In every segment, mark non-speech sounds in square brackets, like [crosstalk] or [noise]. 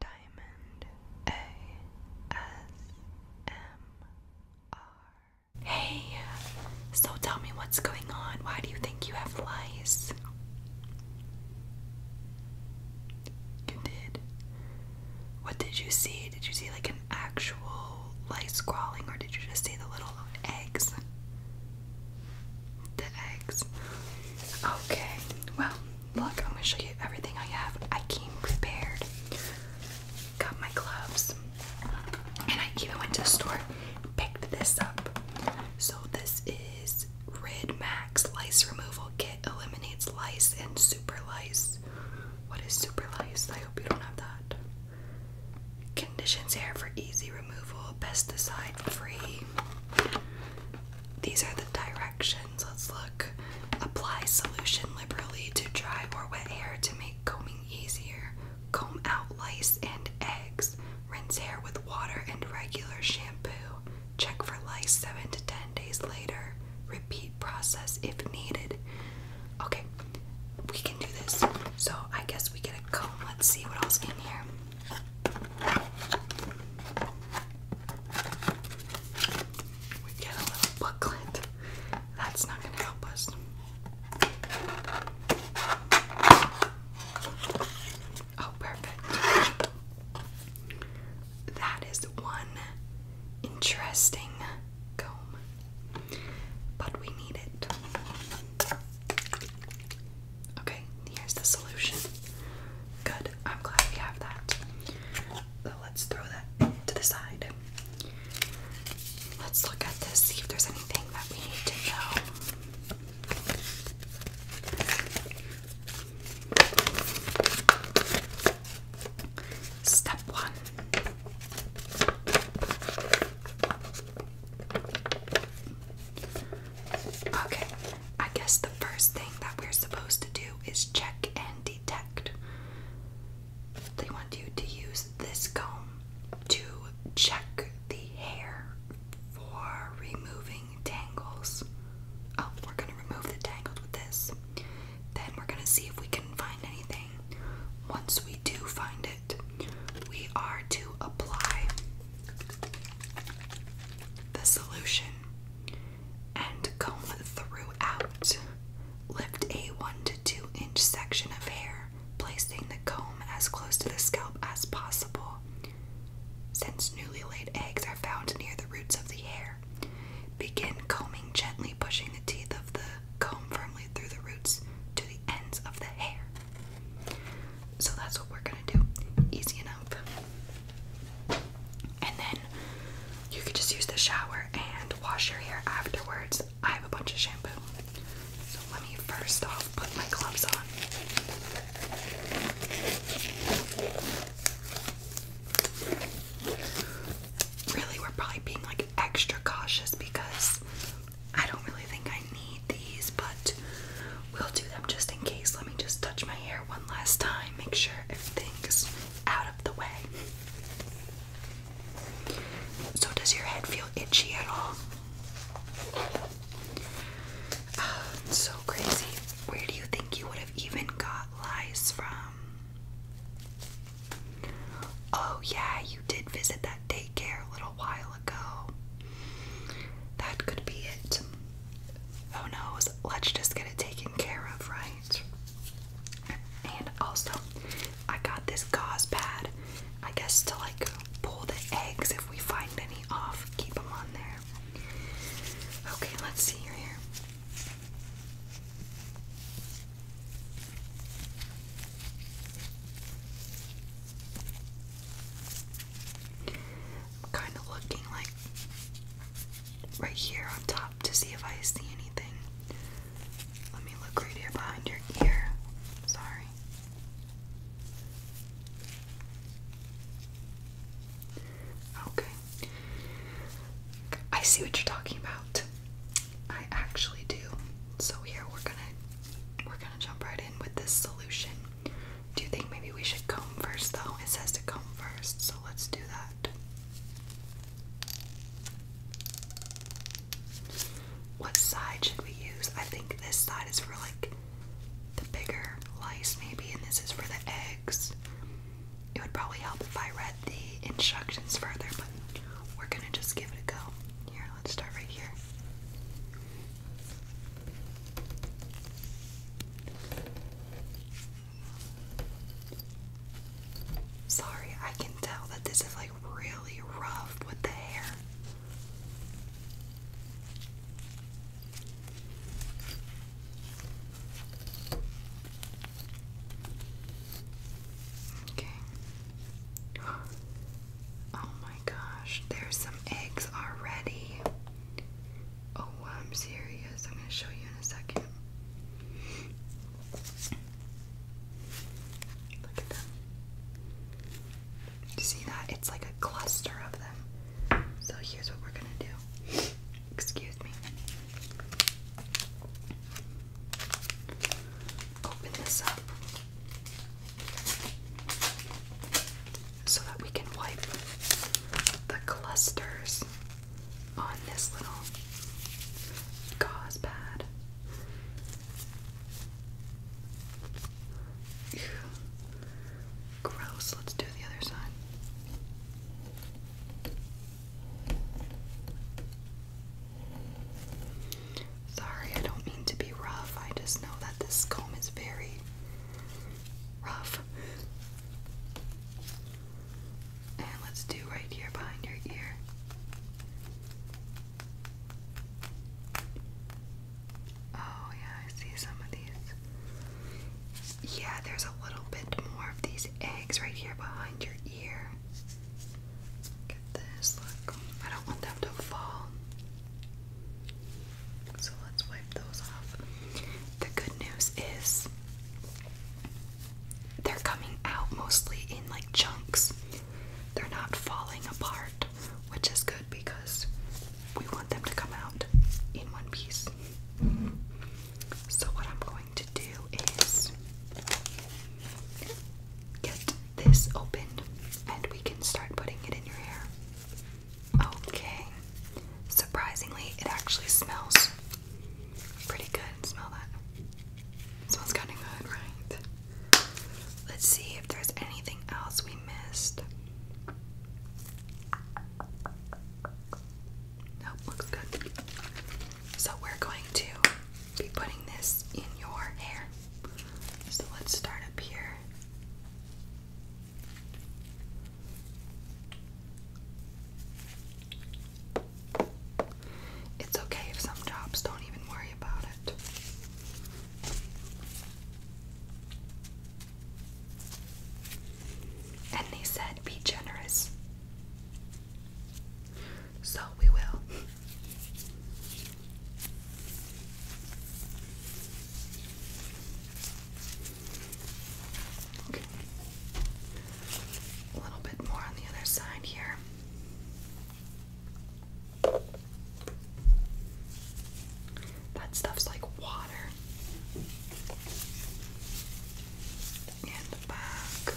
Diamond ASMR. Hey, so tell me what's going on. Why do you think you have lice? You did. What did you see? Did you see like an actual lice crawling, or did you just see the little eggs? The eggs. Okay, well, Look, I'm gonna show you everything I have. I came prepared. Got my gloves. And I even went to the store, picked this up. So this is Rid Max Lice Removal Kit. Eliminates lice and super lice. What is super lice? I hope you don't have that. Conditions here for easy removal, pesticide free. These are the directions. Let's look. Apply solution liberally to dry or wet hair to make combing easier. Comb out lice and eggs. Rinse hair with water and regular shampoo. Check for lice 7 to 10 days later. Repeat process if needed. Okay, we can do this. So I guess we get a comb. Let's see what else in here. We get a little booklet. That's not going to help us. Oh, perfect. That is one interesting comb, but we need it. Okay, here's the solution. Good, I'm glad we have that. let's throw that to the side. Let's look at this, see if there's anything that we need to know. Step one. Okay, I guess the first thing that we're supposed to do is check and detect. They want you to use this comb to check the hair for removing tangles. Oh, we're gonna remove the tangles with this. Then we're gonna see if we can find anything. Once we do find it, we are to apply the solution and comb throughout. Lift a 1 to 2 inch section of hair, placing the comb as close to the scalp as possible. Since newly laid eggs are found near the roots of the hair, begin combing gently, pushing the teeth of the comb firmly through the roots to the ends of the hair. So that's what we're gonna do. Easy enough. And then you could just use the shower and wash your hair afterwards. I have a bunch of shampoo. So let me first off put my gloves on. Really, we're probably being like extra cautious because I don't really think I need these, but we'll do them just in case. Let me just touch my hair one last time, make sure everything's out of the way. So, does your head feel itchy at all? Uh, so crazy. Where do you think you would have even got lice from? Oh, yeah, you did visit that daycare a little while while That could be it. Who oh knows? Let's just get it taken care of, right? And also, I got this gauze pad, I guess, to like pull the eggs if we find any off, keep them on there. Okay, let's see your I'm kind of looking like right here on top to see if I see anything. Let me look right here behind your ear. Sorry. Okay. I see what you're talking about. I actually do. So here we're gonna we're gonna jump right in with this solution. Do you think maybe we should comb first though? It says to comb first, so let's do that. What side should we use? I think this side is for like the bigger lice, maybe, and this is for the eggs. It would probably help if I read the instructions further, but we're gonna just give it a go. Here, let's start right here. Sorry, I can tell that this is like really rough with the hair. Okay. Oh my gosh, there's some eggs already. Oh, I'm serious. I'm going to show you in a second. Look at them. You see that? It's like a cluster of them. So here's what we're going to do. Excuse me. Open this up so that we can wipe the clusters on this little gauze pad. Gross. Let's do the other side. Sorry, I don't mean to be rough. I just know that this comb is very rough. And let's do right here behind your ear. Oh, yeah, I see some of these. Yeah, there's a little bit more of these eggs right here behind your ear. Look this, look. I don't want them to fall. So let's wipe those off. The good news is they're coming out mostly in like chunks. They're not falling apart, which is good because we want them to come out in one piece. So, what I'm going to do is get this open and we can start putting it in your hair. Okay. Surprisingly, it actually smells pretty good. Smell that. smells kind of good, right? Let's see if there's anything else we missed. Nope, looks good. So we're going to be putting this in your hair. So let's start up here. It's okay if some jobs don't even worry about it. And they said, be generous. So we will. A little bit more on the other side here. That stuff's like water. And the back.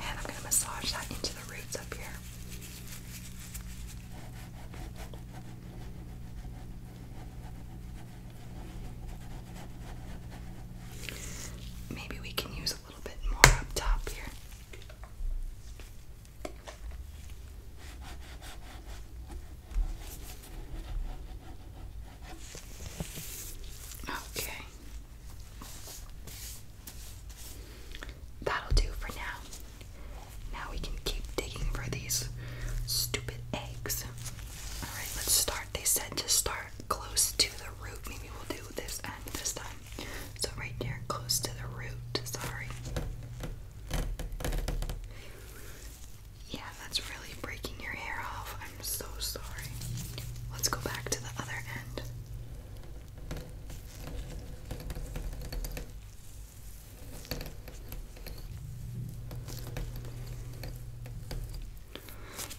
And I'm going to massage that into the roots up here. Maybe we can use a little bit more up top here. Okay. That'll do for now. Now we can keep digging for these stupid eggs. Alright, let's start. They said to start close to the root. Maybe we'll do this end this time. So, right there, close to the root. Sorry. Yeah, that's really breaking your hair off. I'm so sorry. Let's go back to the other end.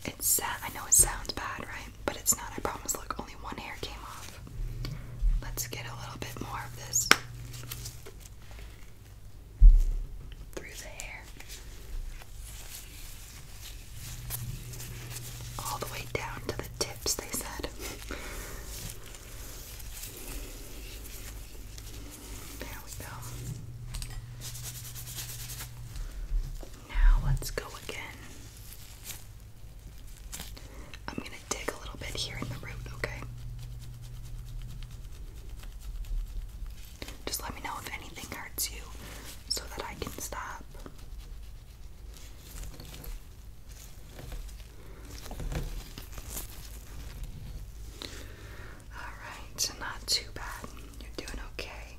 It's I know it sounds bad, right? But it's not. I promise. Look, only one hair came off. Let's get a little bit more of this through the hair. All the way down to the tips, they said. There we go. Now let's go again. I'm going to dig a little bit here in the root, okay? Just let me know if anything hurts you so that I can stop. Alright, not too bad. You're doing okay.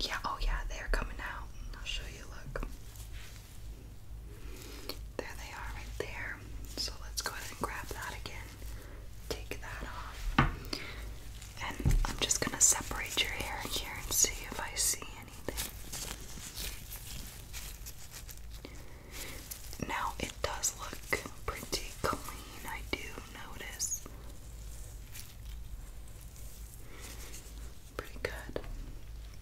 Yeah, oh yeah, they're coming out. I'll show you, look. There they are right there. So let's go ahead and grab that again take that off. And I'm just gonna separate your hair here and see if I see anything. Now it does look pretty clean, I do notice. Pretty good.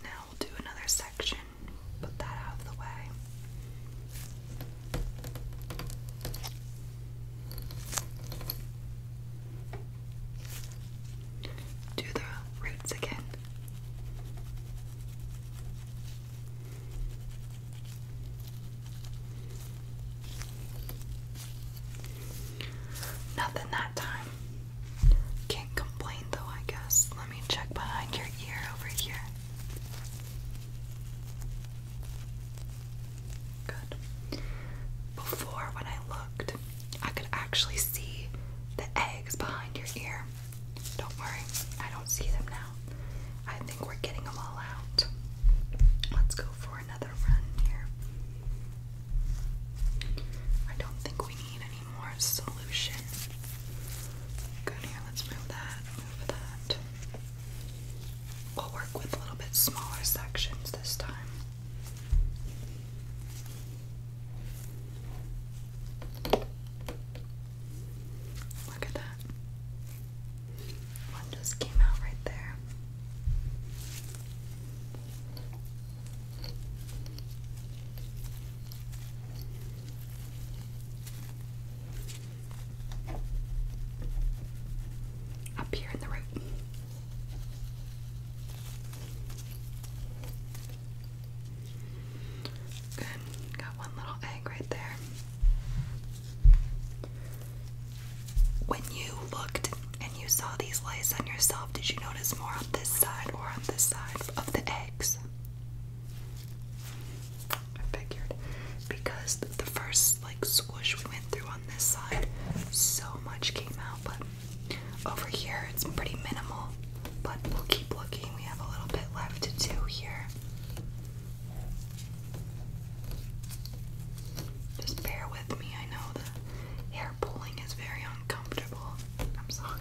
Now we'll do another section, put that out of the way. Do the roots again. Nothing that time. Can't complain though, I guess. Let me check behind your ear over here. Good. Before, when I looked, I could actually see the eggs behind your ear. Don't worry, I don't see them now. I think we're getting them all out. Let's go for another run here. I don't think we need any more solution. Good, here, let's move that, move that. We'll work with a little bit smaller sections this time. Look at that. One just came out right there up here in the root. Good, got one little egg right there. When you looked and you saw these lights on yourself, did you notice more on this side or on this side of the eggs? I figured because the first like squish we went through on this side, so much came out, but over here it's pretty minimal. But we'll keep looking. We have a little bit left to do here. Just bear with me. I know the hair pulling is very uncomfortable. I'm sorry.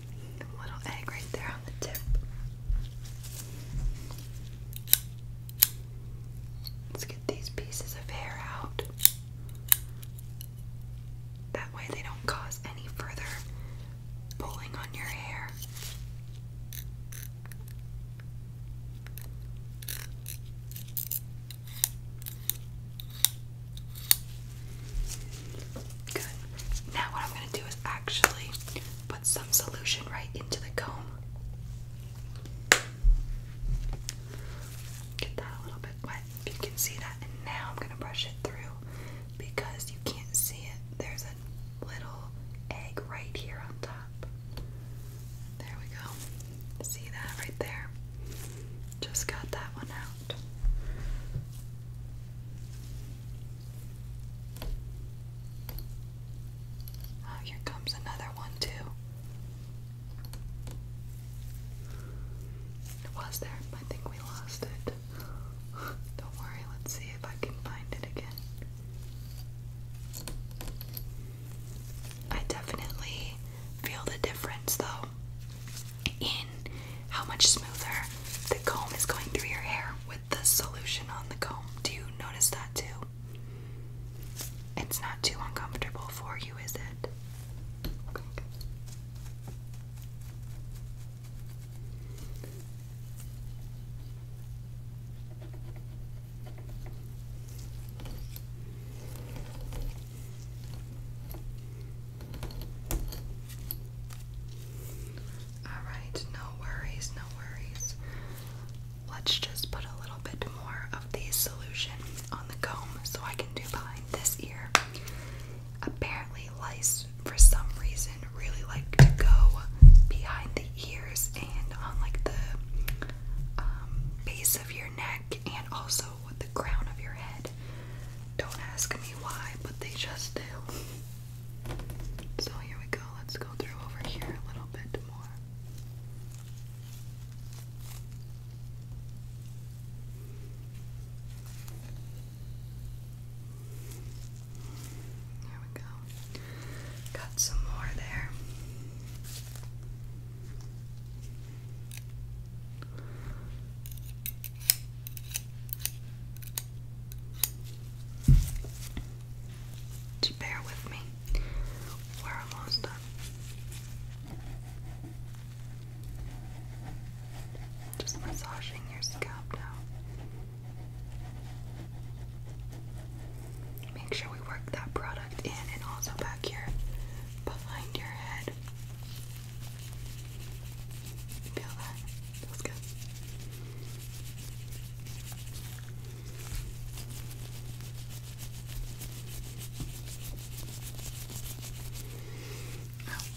little egg right there on the tip. Let's get these pieces of hair out. That way they don't cause any further pulling on your hair. Good. Now what I'm going to do is actually put some solution right into the comb. Get that a little bit wet you can see that. And now I'm going to brush it through because you can't see it. There's a little egg right here on top. There we go. See that right there? Just got that one out. Oh, here comes another one, too. was there. I think we lost it. [laughs] Don't worry, let's see if I can find it again. I definitely feel the difference though how much smoother the comb is going through your hair with the solution on the comb. Do you notice that too? It's not too uncomfortable for you, is it? Alright, no worries, no worries. Let's just put a little bit more of the solution on the comb so I can do behind this ear. Apparently, lice for some reason really like to go behind the ears and on like the um, base of your neck and also the crown of your head. Don't ask me why, but they just do. So here we go. Let's go through over here a little bit more. There we go. Got some more there. Just bear with me. We're almost done. Just massaging your scalp now. Make sure we work that product in and also back here behind your head. Feel that? Feels good.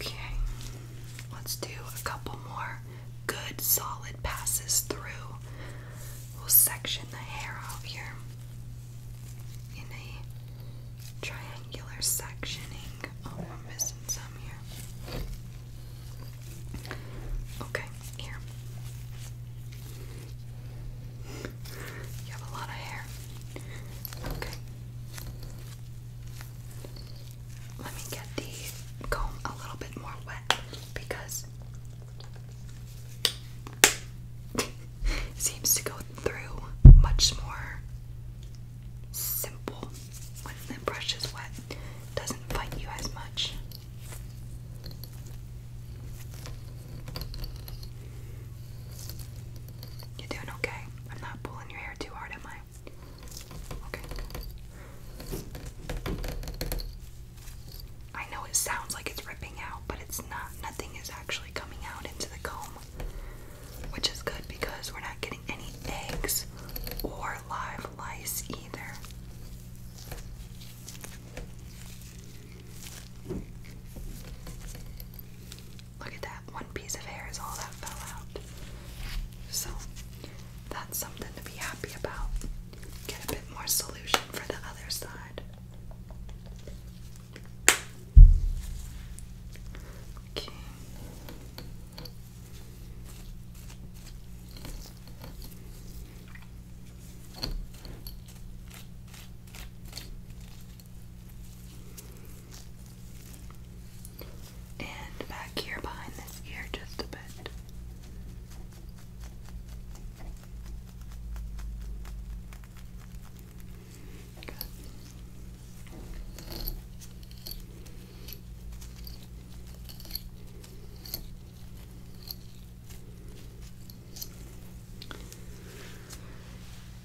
Okay, let's do a couple more good solid passes through. We'll section the hair off here in a triangular sectioning. Oh, I'm missing some here. Okay, here. You have a lot of hair. Okay. Let me get the comb a little bit more wet because seems to go through much more simple when the brush is wet, doesn't bite you as much. You're doing okay. I'm not pulling your hair too hard, am I? Okay. I know it sounds like it's ripping out, but it's not. Nothing is actually coming out into the comb which is good because we're not getting any eggs or live lice either. Look at that, one piece of hair is all that fell out. So that's something to be happy about. Get a bit more solution for the other side. Okay. And back here behind this ear just a bit.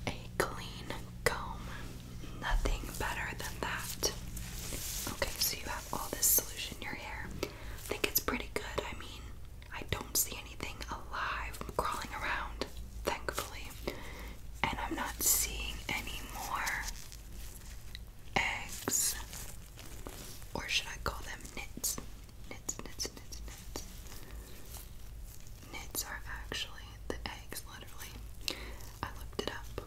A clean comb. Nothing better than that. Okay, so you have all this solution in your hair. I think it's pretty good. I mean, I don't see anything alive crawling around, thankfully and I'm not seeing any more eggs. Or should I call them knits? Knits, knits, knits, knits. Knits are actually the eggs, literally. I looked it up.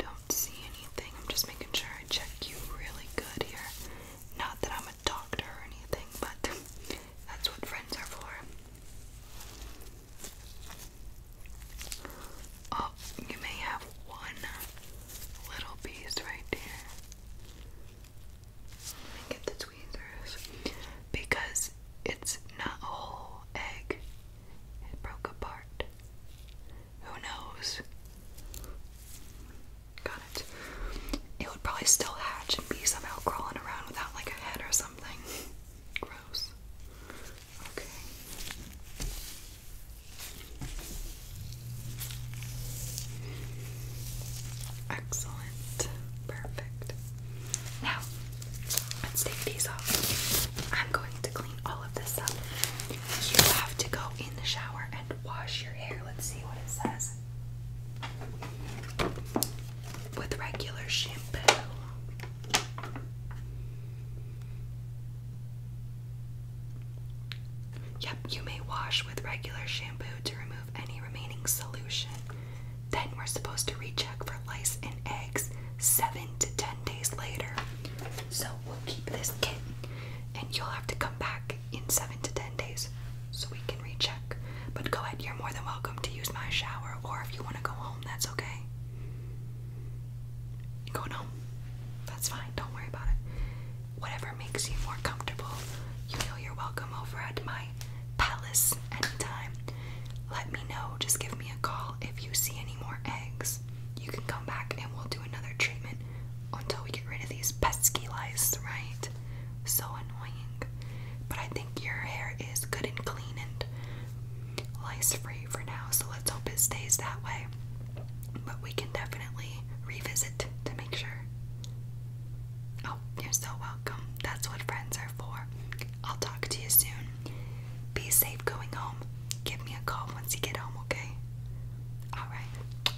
I don't see anything. I'm just making sure I check you really good here. Not that I'm a doctor or anything, but [laughs] that's what friends are for. Oh, you may have one little piece right there. get the tweezers. Because it's not a whole egg, it broke apart. Who knows? it, it would probably still hatch and be somehow crawling around without like a head or something. Gross. Okay. Excellent. Perfect. Now, let's take these off. I'm going to clean all of this up. You have to go in the shower and wash your hair. Let's see what it says with regular shampoo. Yep, you may wash with regular shampoo to remove any remaining solution. Then we're supposed to recheck for lice and eggs 7 to 10 days later. So we'll keep this kit and you'll have to come back in seven to ten days so we can recheck. But go ahead, you're more than welcome to use my shower, or if you want to go home, that's okay. Go home. That's fine, don't worry about it. Whatever makes you more comfortable, you know you're welcome over at my palace anytime. Let me know, just give me a call if you see any more eggs. You can come back and we'll do another treatment until we get rid of these pesky lice, right? so annoying. But I think your hair is good and clean and lice free for now, so let's hope it stays that way. But we can definitely revisit to make sure. Oh, you're so welcome. That's what friends are for. I'll talk to you soon. Be safe going home. Give me a call once you get home, okay? Alright.